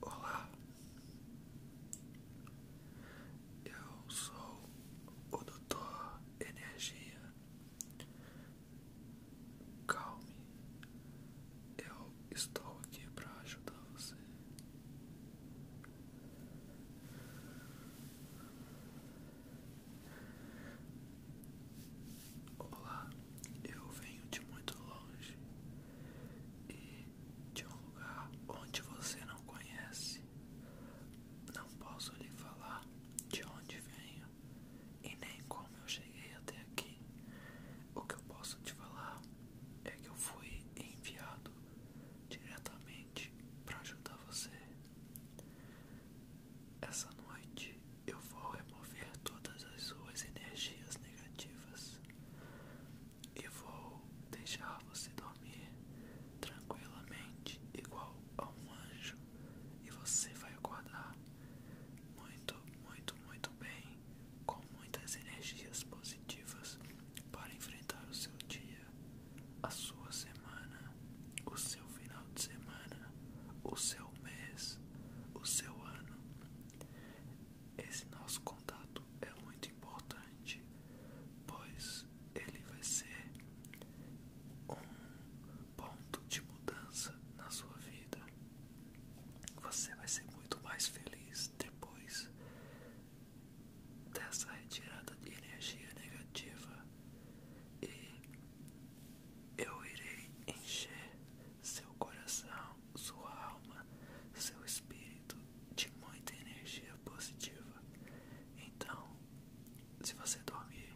Olá, eu sou o Doutor Energia Calme, eu estou aqui para ajudar você. Olá, eu venho de muito longe e de um lugar onde você não conhece. Não posso lhe falar de onde venho, e nem como eu cheguei até aqui. O que eu posso te falar é que eu fui enviado diretamente para ajudar você. Essa noite eu vou remover todas as suas energias negativas e vou deixar você dormir tranquilamente, igual a um anjo e você vai aguardar muito, muito, muito bem, com muitas energias positivas para enfrentar o seu dia, a sua semana, o seu final de semana, o seu mês, o seu ano. Esse nosso contato é muito importante, pois ele vai ser um ponto de mudança na sua vida. Você vai ser muito mais feliz depois dessa retirada de energia negativa e eu irei encher seu coração, sua alma, seu espírito de muita energia positiva. Então se você dormir,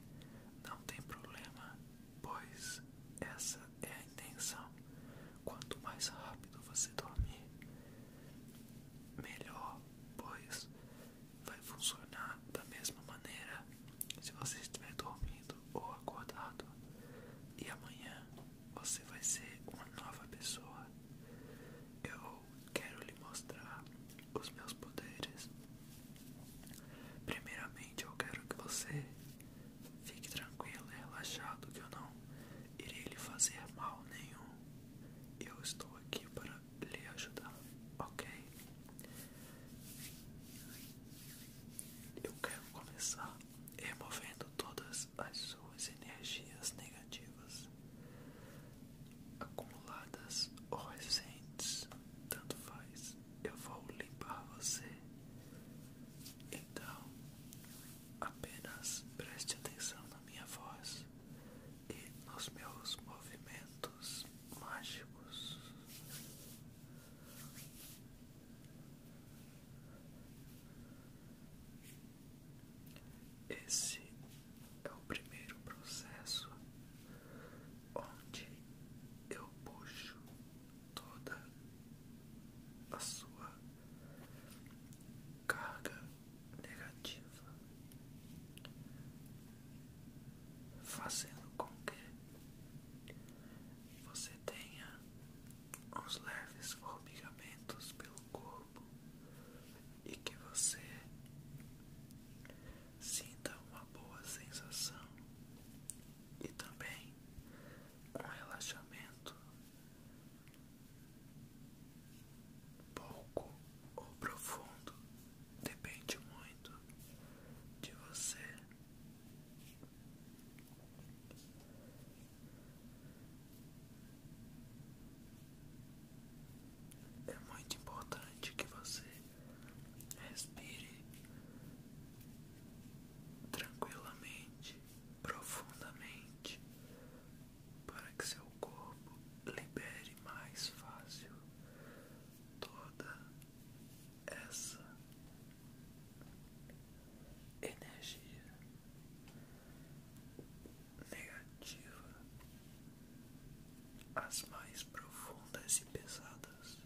não tem problema, pois essa é a intenção. Quanto mais rápido você dormir, melhor, pois vai funcionar da mesma maneira se você estiver dormindo ou acordado. E amanhã você vai ser uma nova pessoa. Eu quero lhe mostrar os meus poderes. Primeiramente, eu quero que você fique tranquilo e relaxado, que eu não irei lhe fazer mal nenhum. Eu estou aqui para lhe ajudar, ok? Eu quero começar removendo todas as suas energias negativas acumuladas ou recentes tanto faz, eu vou limpar você. Então, apenas preste atenção na minha voz e nos meus movimentos mágicos. Esse é o primeiro processo onde eu puxo toda a sua carga negativa, fazendo com que você tenha uns leves formigamentos pelo corpo e que você sinta uma boa sensação e também um relaxamento pouco ou profundo, depende muito de você. É muito importante que você Respire tranquilamente, profundamente, para que seu corpo libere mais fácil toda essa energia negativa as mais profundas e pesadas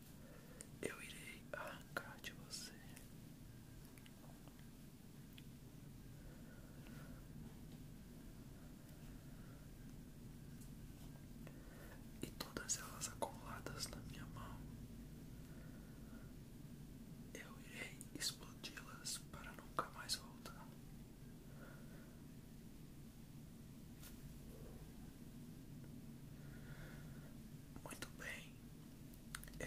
eu irei arrancar de você. E todas elas acumuladas na minha mão, eu irei explodi-las para nunca mais voltar. Muito bem,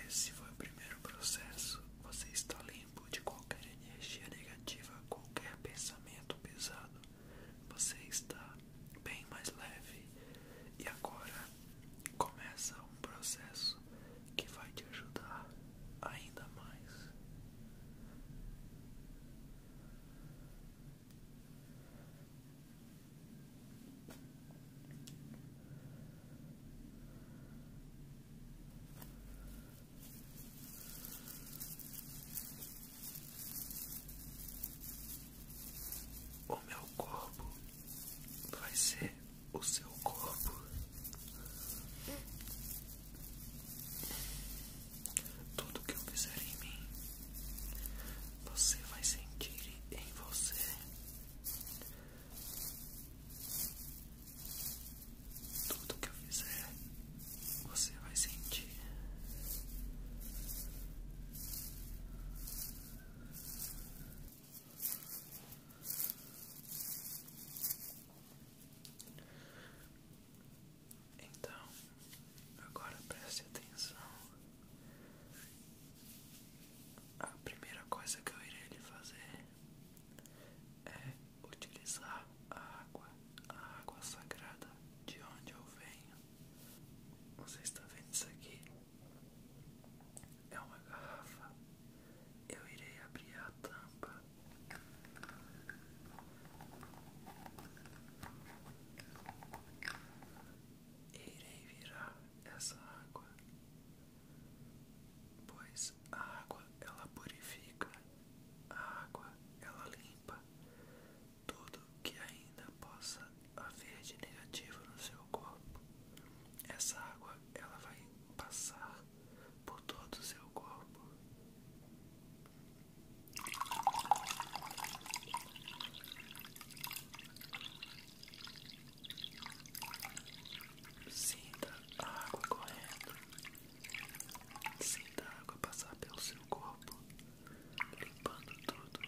esse foi o primeiro processo. Você está limpo de qualquer energia negativa, qualquer pensamento pesado. Você está bem mais leve e agora começa um processo que vai te ajudar ainda mais. O meu corpo vai ser o seu corpo. Tudo que eu fizer em mim, você vai sentir em você. Tudo que eu fizer, você vai sentir. Então, agora preste atenção. A primeira coisa que eu irei lhe fazer é utilizar a água, a água sagrada de onde eu venho. Você está vendo isso aqui? É uma garrafa. Eu irei abrir a tampa Irei virar essa água, pois a água ela purifica, a água ela limpa tudo que ainda possa haver de negativo no seu corpo. Essa água ela vai passar por todo o seu corpo. Sinta a água correndo, sinta a água passar pelo seu corpo, limpando tudo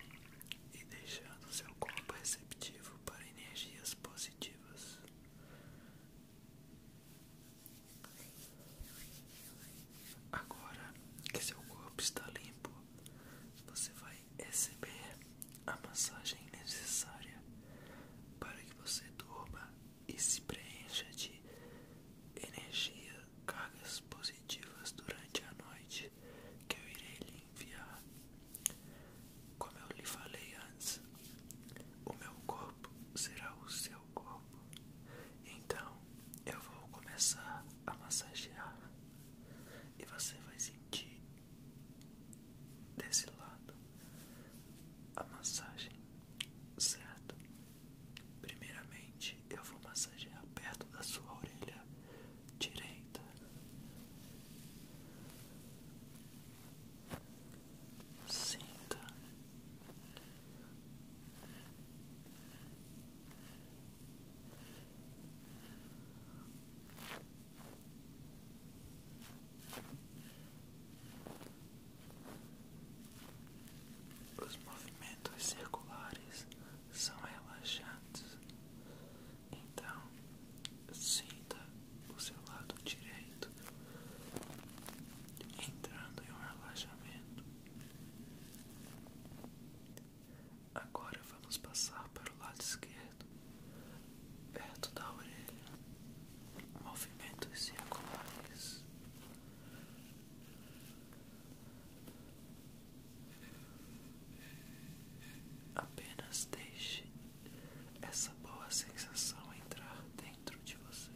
e deixando seu corpo receptivo para energias positivas. Agora que seu corpo está limpo, você vai receber a massagem necessária para que você durma e se preencha de energia, cargas positivas durante a noite que eu irei lhe enviar. Como eu lhe falei antes, o meu corpo será o seu corpo. Então eu vou começar a massagear e você vai sentir desse lado a massagem, certo? Primeiramente eu vou massagear perto da sua orelha direita. Sinta os movimentos circulares são relaxantes, então sinta o seu lado direito entrando em um relaxamento Agora vamos passar para o lado esquerdo, perto da orelha. Movimentos circulares. Apenas deixe essa boa sensação entrar dentro de você.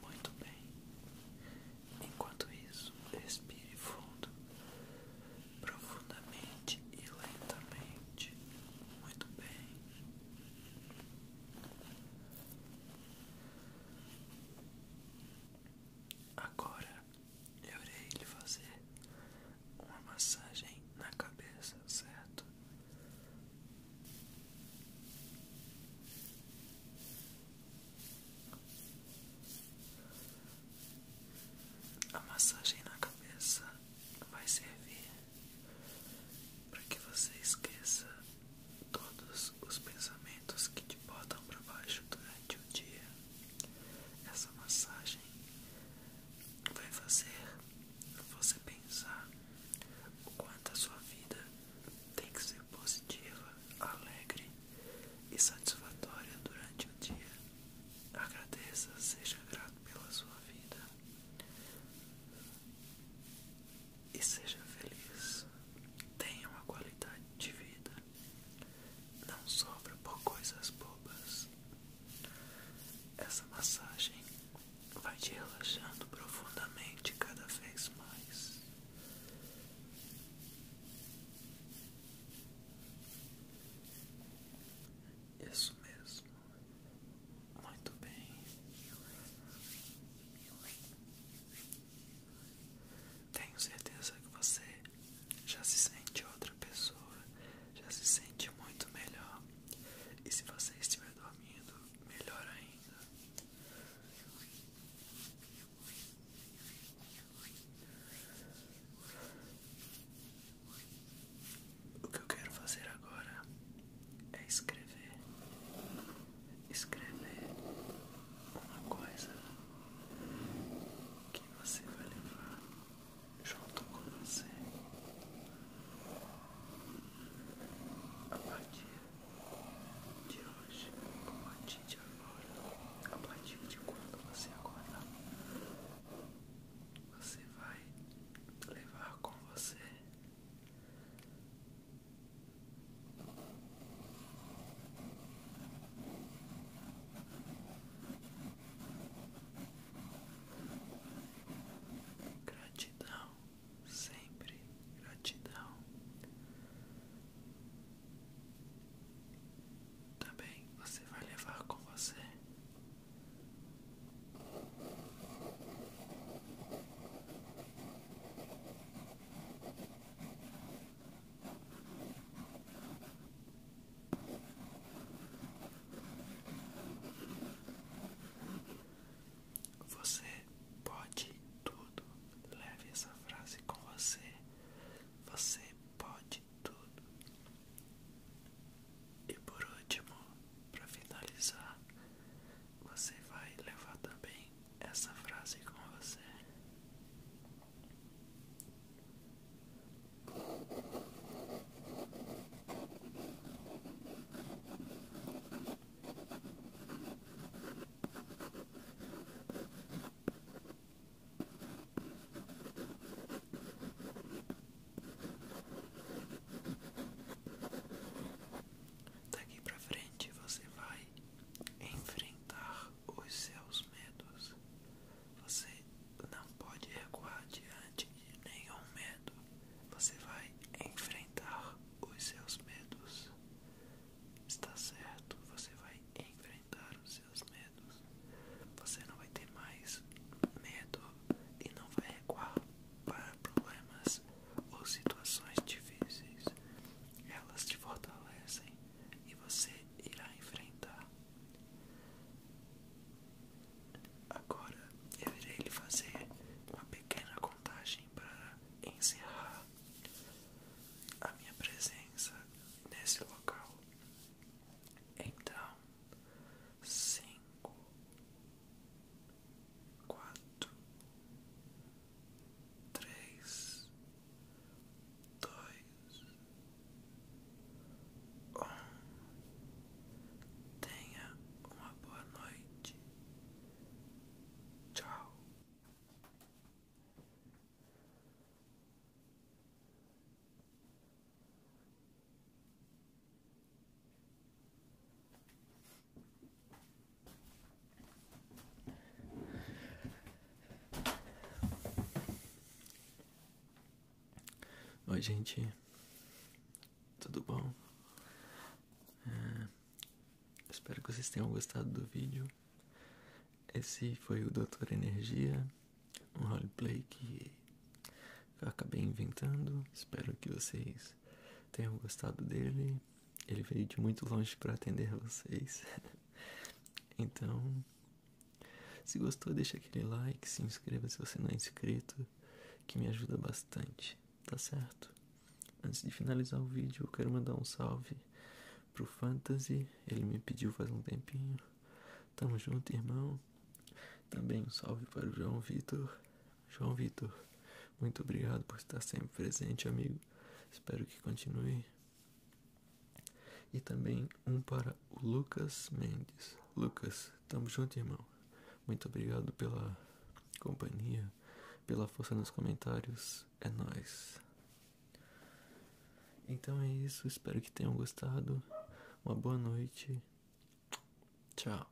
Muito bem. Enquanto isso, respire fundo, profundamente e lentamente. Muito bem. Agora eu irei lhe fazer uma massagem na cabeça, certo? A massagem na cabeça vai servir para que você esqueça todos os pensamentos que te botam para baixo durante o dia. Essa massagem vai fazer você pensar o quanto a sua vida tem que ser positiva, alegre e satisfatória durante o dia. Agradeça, seja grato pela sua vida e seja feliz. Tenha uma qualidade de vida. Não sobra por coisas bobas. Essa massagem vai te relaxando profundamente cada vez mais. Isso mesmo, muito bem. Tenho certeza que você já se sente outra pessoa, já se sente muito melhor. E se você estiver dormindo, melhor ainda. O que eu quero fazer agora é escrever, escrever uma coisa que você vai levar junto com você a partir de hoje, a partir de agora, a partir de quando você acordar, você vai levar com você gratidão sempre gratidão. Também você vai levar com você você pode tudo. Leve essa frase com você. Você pode tudo. E por último, para finalizar, você vai levar também essa frase com você. Daqui para frente você vai enfrentar os seus medos. Você não pode recuar diante nenhum medo. Você vai enfrentar os seus medos. Está certo, você vai enfrentar os seus medos. Você não vai ter mais medo e não vai recuar para problemas ou situações difíceis. Elas te fortalecem e você irá enfrentar. Agora eu irei lhe fazer uma pequena contagem para encerrar a minha presença nesse local. Então, cinco, quatro, três, dois, um. Tenha uma boa noite. Tchau. Oi, gente tudo bom? É, espero que vocês tenham gostado do vídeo. Esse foi o Doutor Energia, um roleplay que eu acabei inventando. Espero que vocês tenham gostado dele. Ele veio de muito longe para atender vocês. então, se gostou, deixa aquele like, se inscreva se você não é inscrito, que me ajuda bastante tá certo? Antes de finalizar o vídeo, eu quero mandar um salve pro Fantasy. Ele me pediu faz um tempinho. Tamo junto, irmão. Também um salve para o João Vitor. João Vitor, muito obrigado por estar sempre presente, amigo. Espero que continue. E também um para o Lucas Mendes. Lucas, Tamo junto, irmão. Muito obrigado pela companhia, pela força nos comentários. É nós. Então é isso, espero que tenham gostado. Uma boa noite. Tchau.